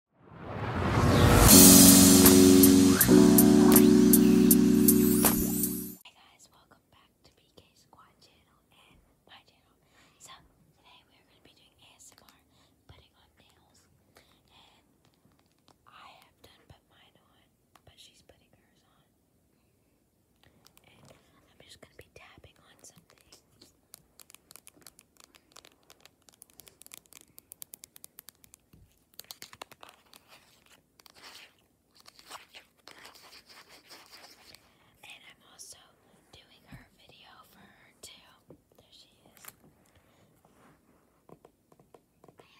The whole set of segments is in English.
Hey guys, welcome back to BK Squad channel and my channel. So today we're going to be doing ASMR, putting on nails, and I have done put mine on, but she's putting hers on. And I'm just going to be tapping on something. And I'm also doing her video for her too. There she is. I have horrible sounds.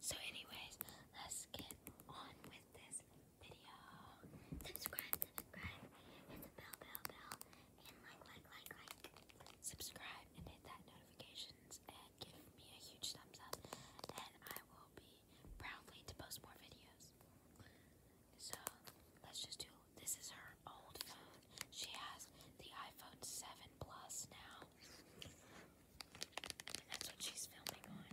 So anyways, let's get on with this this video. Subscribe, subscribe, hit the bell, bell, bell, and like, like, like, like. Subscribe and hit that notifications and give me a huge thumbs up, and I will be proudly to post more videos. So let's just do. This is her old phone. She has the iPhone 7 Plus now. that's what she's filming on.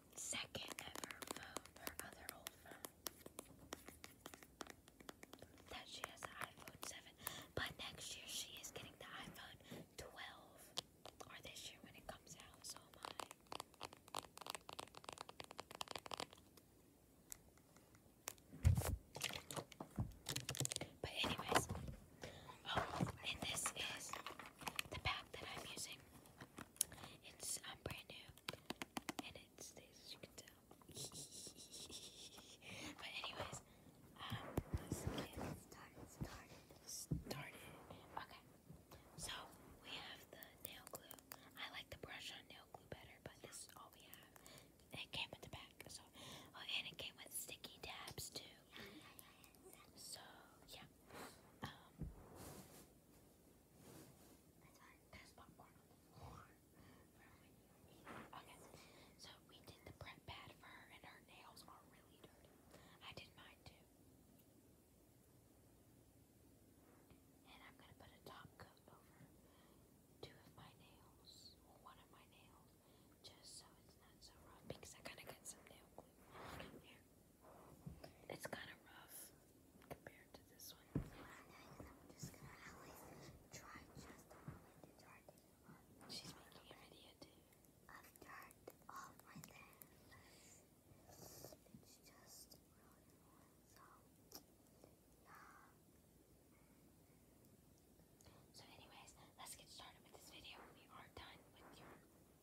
second ever phone, her other old phone. That she has the iPhone 7. But next year she is getting the iPhone 12. Or this year when it comes out, so am I. But anyways, oh, and this is the pack that I'm using. It's um, brand new, and it stays as you can tell. but anyways, um, let's get started, Okay, so we have the nail glue. I like the brush on nail glue better, but this is all we have. it came with the back, so oh, and it came with sticky tabs too. So yeah, um, that's Okay, so we did the prep pad for her, and her nails are really dirty. I did mine too. And I'm gonna put a top coat over two of my nails, one of my nails, just so it's not so rough because I gotta get some nail glue on here. It's kind of rough compared to this one. She's making a too. I've turned off my things. It's just really annoying, so anyways, let's get started with this video. We are done with your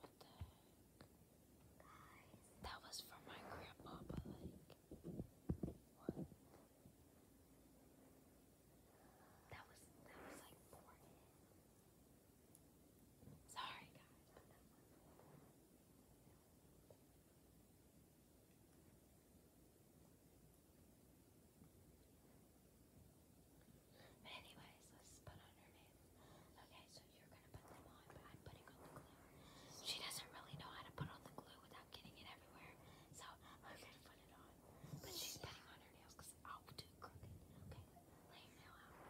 What the heck? Guys. That was for my grandpa, but like, what? That was, that was like poured in. Sorry guys, but that was anyways, let's put on her name. Okay, so you're gonna put them on, but I'm putting on the glue. She doesn't really know how to put on the glue without getting it everywhere, so I'm gonna put it on. But she's putting on her nails I'll do crooked. Okay, lay your nail out.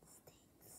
That stinks.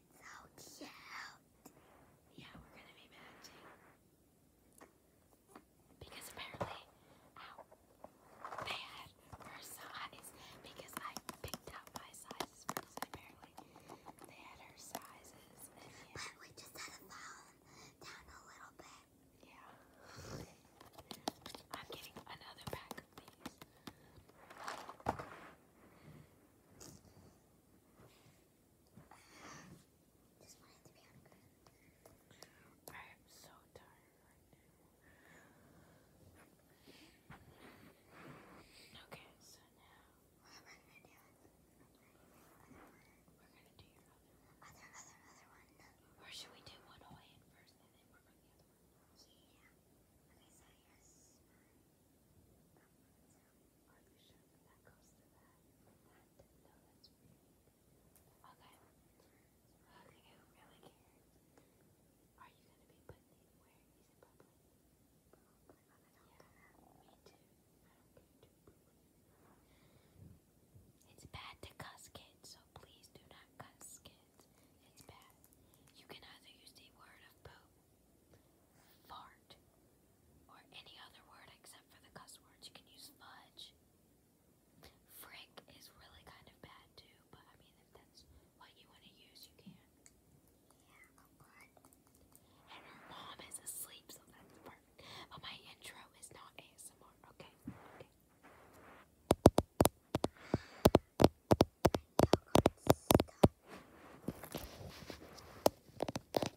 It's so cute. Yeah, we're gonna be matching. Because apparently, they had her size. Because I picked out my sizes apparently. They had her sizes. But we just had to follow them down a little bit. Yeah. I'm getting another pack of these. I am so tired right now. Okay, so now what am I gonna do? We're gonna do your other one. Or should we do one Hawaiian first and then work on the other one? Yeah. Okay, so here's barbershop that goes to that. no, that's weird. Okay. Okay, who really cares? Are you gonna be put anywhere? in public. yeah, Me too. I don't care It's bad to cuss kids, so please do not cuss kids. It's bad. You can either use the word of fart, or any other word except for the cuss words. You can use fudge. Frick is really kind of bad too, but I mean, if that's what you want to use, you can. Yeah, and her mom is asleep, so that's perfect. But my intro is not ASMR, okay? Okay.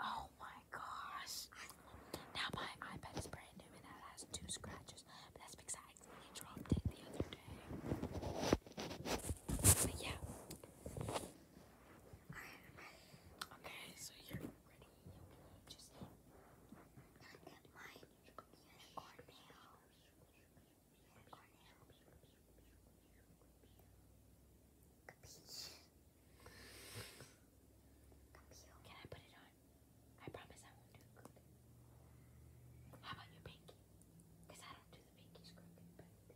Oh my gosh. Now my iPad is brand new and it has two scratches. But that's because I accidentally dropped it the other day. But yeah. Okay, so you're ready. You just look at my unicorn nail. Unicorn nail. Capiche. Can I put it on? I promise I won't do the How about your pinky? Because I don't do the pinkies crooked, Oh god,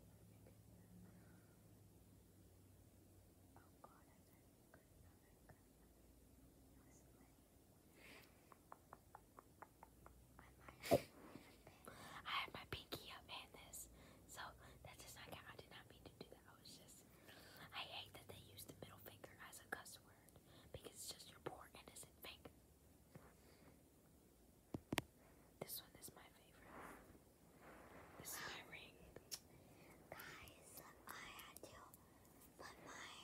I got my pinky up in this, so that does not count. I did not mean to do that. I was just I hate that they use the middle finger as a cuss word because it's just your poor innocent finger. This one is my favorite. This is ring. Guys, I had to put my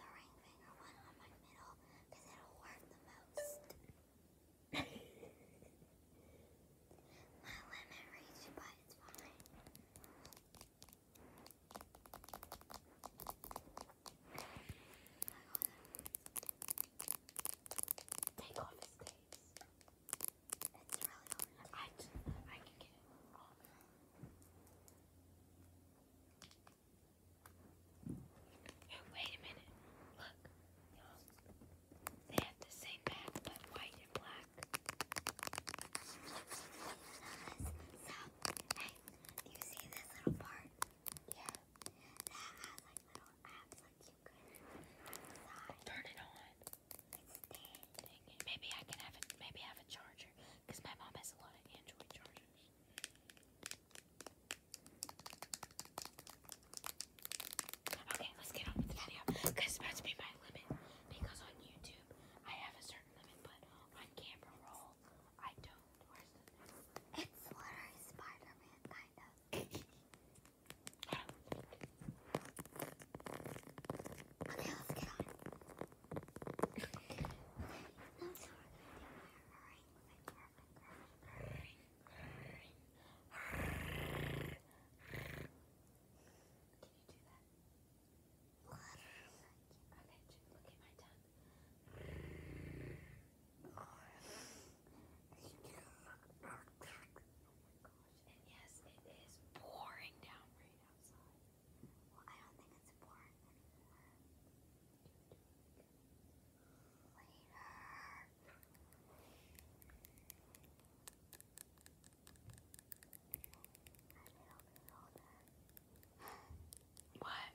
the ring finger one on my middle because it'll work the most. My lemon Take off his case. It's really hard. I, I can get it off. wait a minute. Look. They have the same bag, but white and black hey, you Turn it on. Maybe I can have it maybe have a charger. Because my mom has a lot of Android chargers. Okay, let's get on with the video. Cause it's about to be my limit. Because on YouTube I have a certain limit, but on camera roll, I don't. Where's It's literally spider kind of. okay, let's get on. That's what water. Okay, yes, it is pouring down rain outside. Well, I don't think it's pouring anymore. Later. What?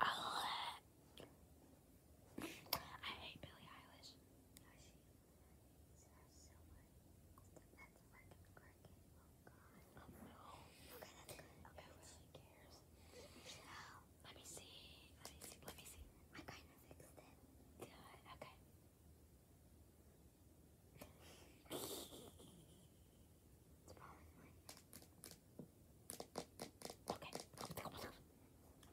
I was singing I hate Billie Eilish. Oh no. Okay, that's good. Okay, who really cares? Let me see. Let me see. Let me see. I kind of fixed it. Good. Okay. Okay, i Okay, let's get on. time limit.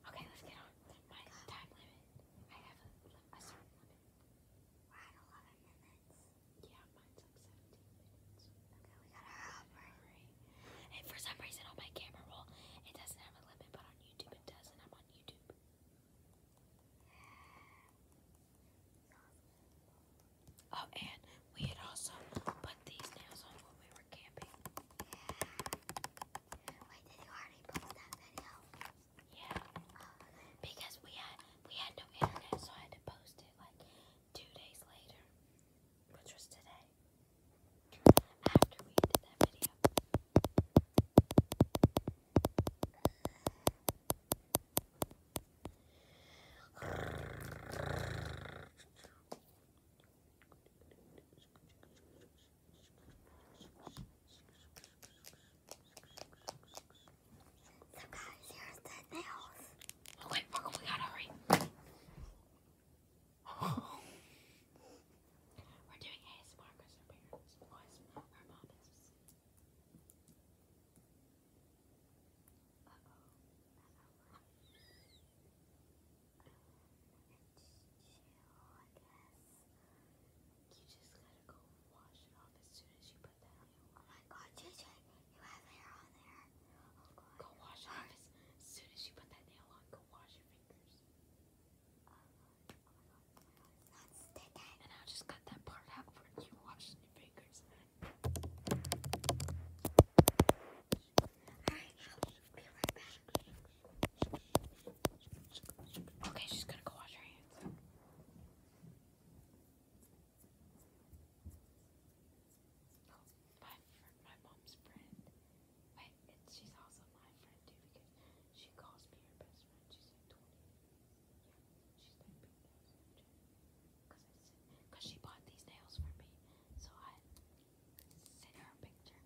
I have a, certain limit. We're at 11 minutes. Yeah, mine's like 17 minutes. Okay, we gotta hurry. And for some reason on my camera roll, it doesn't have a limit, but I'm on YouTube. Oh, and we had also put these nails on when we were camping. Wait, did you already post that video? Yeah. Because we had we had no internet, so I had to post it like two days later, which was today we did that video. So guys, here's the nails. Oh we gotta hurry. We're doing ASMR because her parents, boys, her mom is. oh. Uh oh. Chill, I guess. You just got go wash it off as soon as you put that on. Oh my god, JJ, you have hair on there. Go wash it off as soon as you put that nail on. Go wash your fingers. And i just cut that part out where you wash your fingers. Alright, I'll be right back. Okay, she's gonna go wash her hands. Oh, my, my mom's friend. Wait, she's also my friend too because she calls me her best friend. She's like 20. Yeah, she's like big nails. Cause I sent, cause she bought these nails for me, so I sent her a picture.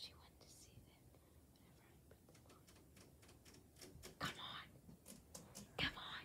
She wanted to see them whenever I Come on, come on.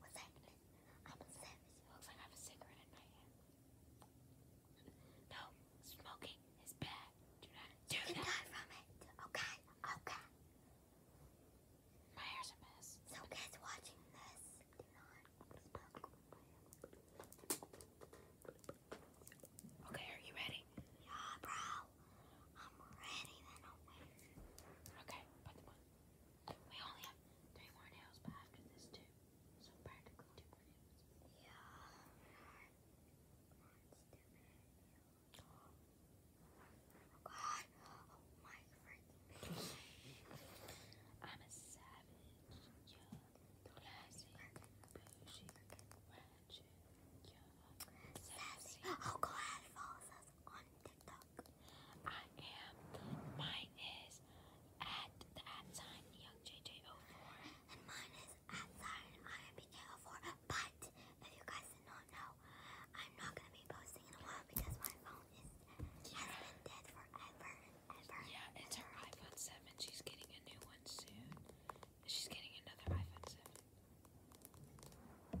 What's happening? I'm a savage. looks like I have a cigarette in my hand. No, smoking is bad. Do not do you can die from it. Okay, okay. My hair's a mess. So kids watching this, do not smoke. Okay, are you ready? Yeah, bro. I'm ready, then Okay, put them on. We only have three more nails, but after this too. So practically two more nails. Yeah. Oh god. Oh my freaking I'm a savage. Yeah. Oh god, I am. Mine is at the at sign young JJ04. And mine is at sign IMBK04. But if you guys did not know, I'm not gonna be posting in a while because my phone is yeah. has dead forever Yeah, it's her iPhone 7. She's getting a new one soon. She's getting another iPhone 7.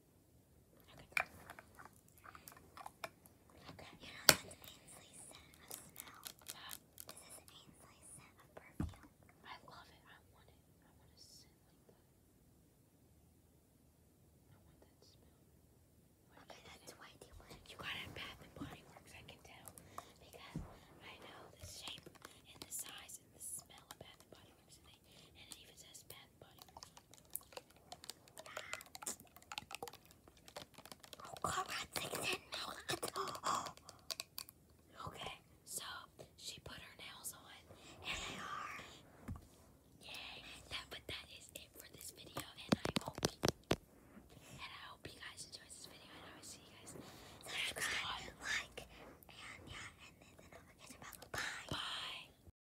Okay. Okay. You know that's Ainsley's scent of smell. This is Ainsley's scent of perfume. I love it. I want it. I want a scent like I want that smell. Where okay, that's way You got it Bath and Body Works, I can tell. Because I know the shape and the size and the smell of Bath and Body Works, Okay, so she put her nails on, and they are. Yay! but that is it for this video, and I hope, you guys enjoyed this video, and I will see you guys next Like, and yeah, and then, then don't forget about bye. Bye.